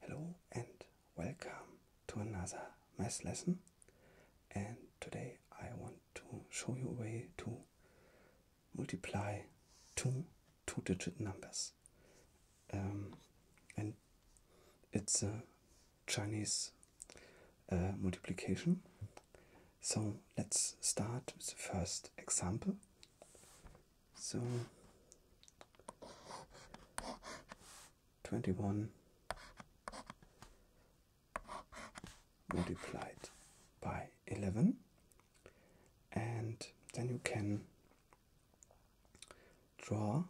Hello and welcome to another math lesson and today I want to show you a way to multiply two two-digit numbers um, and it's a Chinese uh, multiplication so let's start with the first example so, 21 multiplied by 11, and then you can draw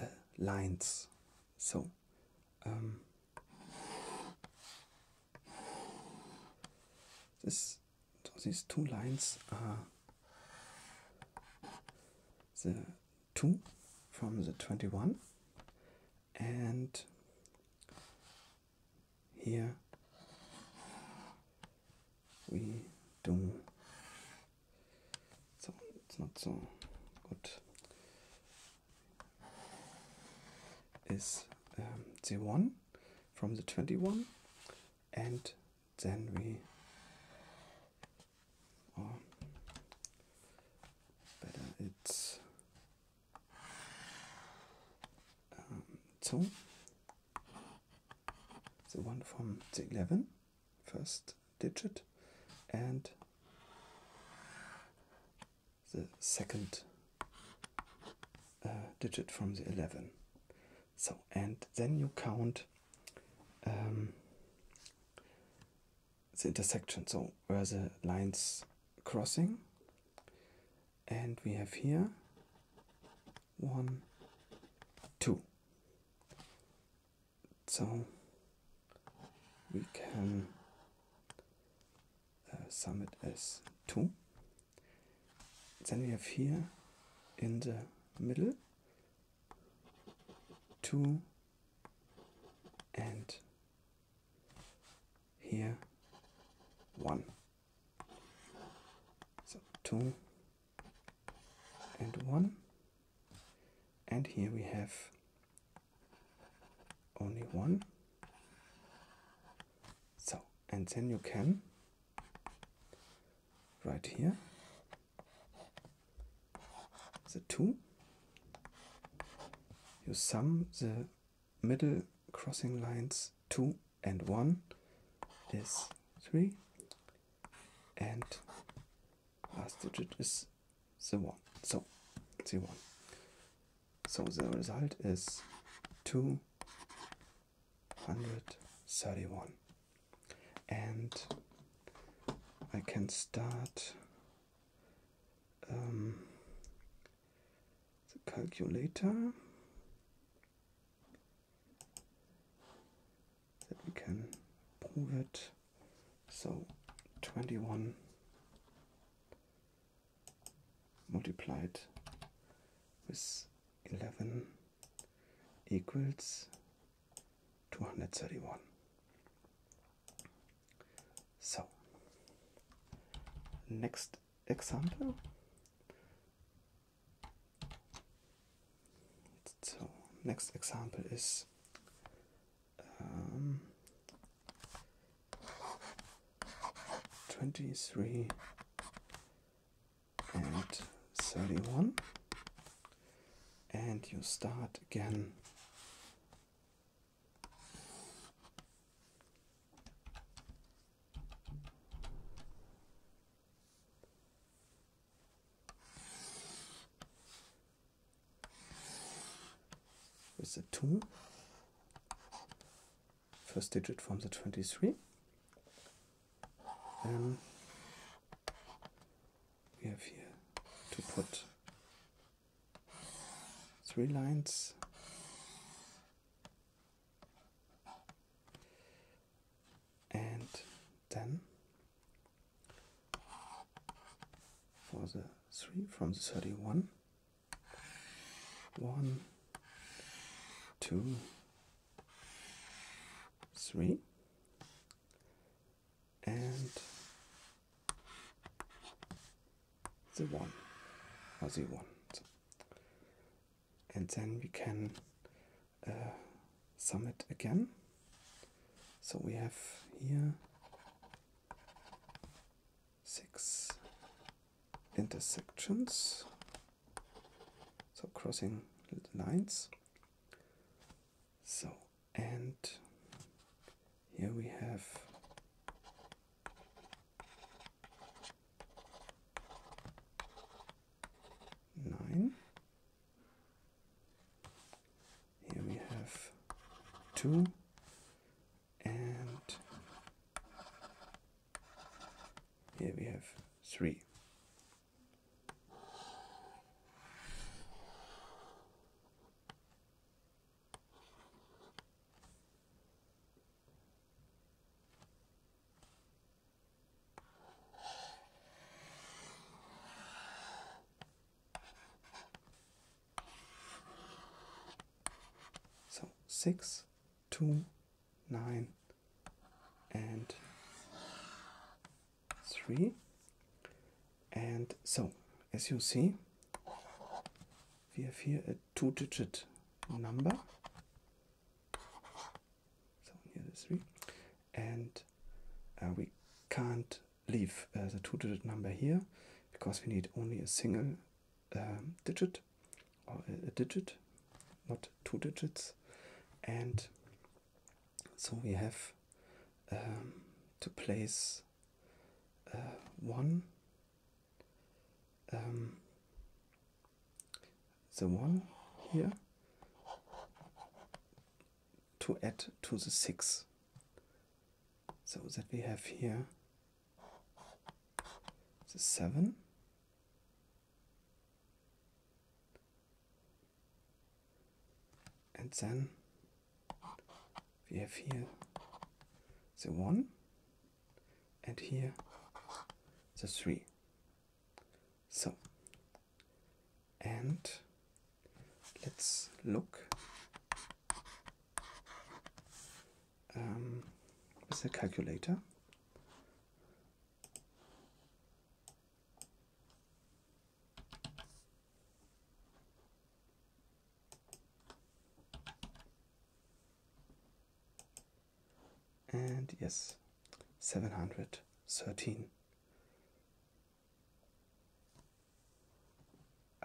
uh, lines. So, um, this so these two lines are the 2 from the 21 and here we do so it's not so good is um, the 1 from the 21 and then we or oh, better uh, it's um, so the one from the 11 first digit and the second uh, digit from the 11 so and then you count um, the intersection, so where the lines crossing, and we have here one, two. So we can uh, sum it as two. Then we have here in the middle two and here one. So two and one, and here we have only one. So, and then you can right here the 2 you sum the middle crossing lines 2 and 1 is 3 and last digit is the 1 so the 1 so the result is 2 131 and I can start um, the calculator that we can prove it so 21 multiplied with 11 equals 231. So, next example. So, next example is um, 23 and 31 and you start again with a 2 first digit from the 23. Then we have here to put three lines and then for the 3 from the 31 1 2 three, and the one or the one. And then we can uh, sum it again. So we have here six intersections so crossing the lines. So, and here we have nine. Here we have two and here we have three. So six, two, nine, and three. And so, as you see, we have here a two digit number. So, here is three. And uh, we can't leave uh, the two digit number here because we need only a single um, digit a digit, not two digits, and so we have um, to place uh, one um, the one here to add to the six so that we have here is it seven? And then we have here the one and here the three. So, and let's look um, with a calculator. And yes, 713.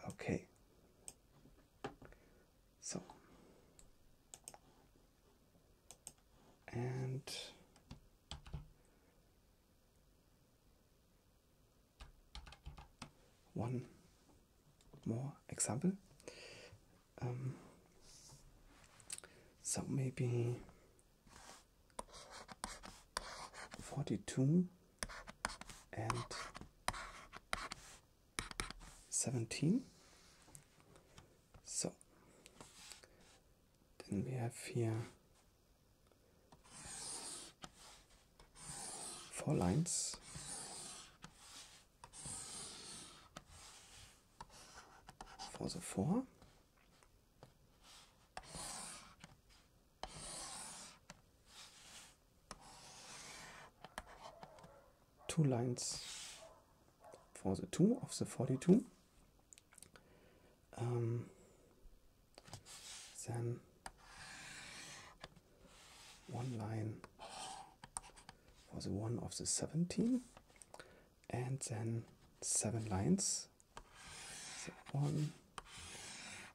Okay. So and one more example. Um, so maybe 42 and 17. So, then we have here four lines. For the four two lines for the 2 of the 42. Um, then one line for the 1 of the 17 and then seven lines. one,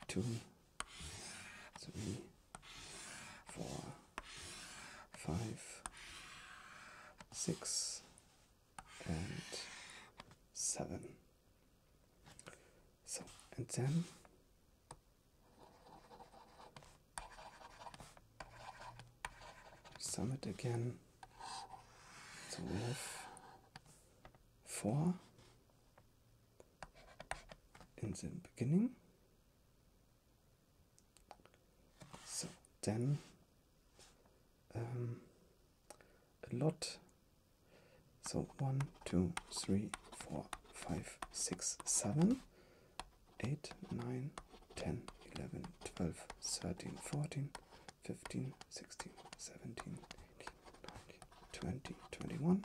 two, three, four, five, six, and seven. So, and then sum it again. So four in the beginning so then um, a lot. So one, two, three, four, five, six, seven, eight, nine, ten, eleven, twelve, thirteen, fourteen, fifteen, sixteen, seventeen, eighteen, nineteen, twenty, twenty-one,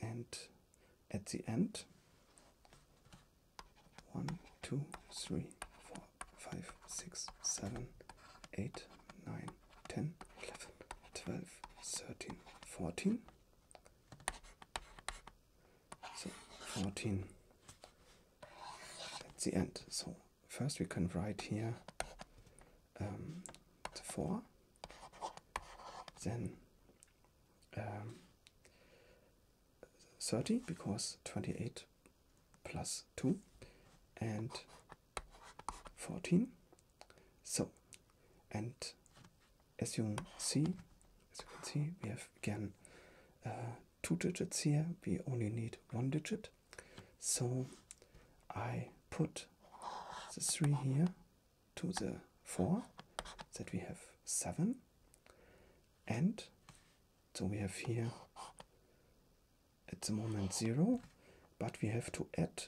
and at the end one, two, three, four, five, six, seven, eight, nine, ten, eleven, twelve, thirteen, fourteen. So fourteen at the end. So first we can write here um, Sephora. Then um, 30 because 28 plus 2 and 14. So, and as you can see, as you can see, we have again uh, two digits here. We only need one digit. So I put the 3 here to the 4, that we have 7. And so we have here at the moment 0, but we have to add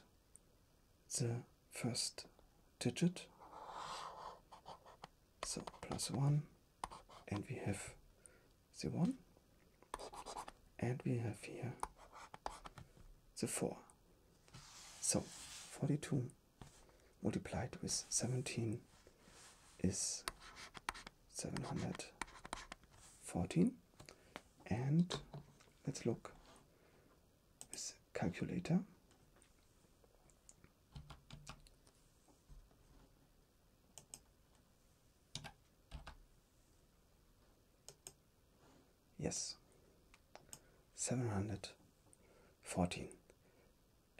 the first digit. So plus 1, and we have the 1 and we have here the 4 so 42 multiplied with 17 is 714 and let's look with calculator yes 714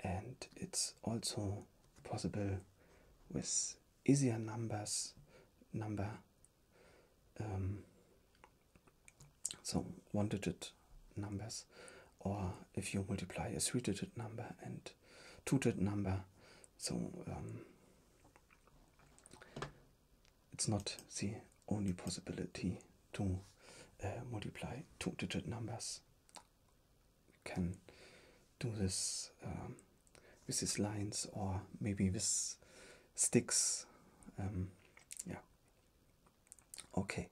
and it's also possible with easier numbers number um, so one digit numbers or if you multiply a three digit number and two digit number so um, it's not the only possibility to uh, multiply two digit numbers. You can do this um, with these lines or maybe with sticks. Um, yeah. Okay.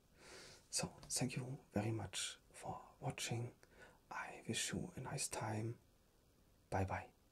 So, thank you very much for watching. I wish you a nice time. Bye bye.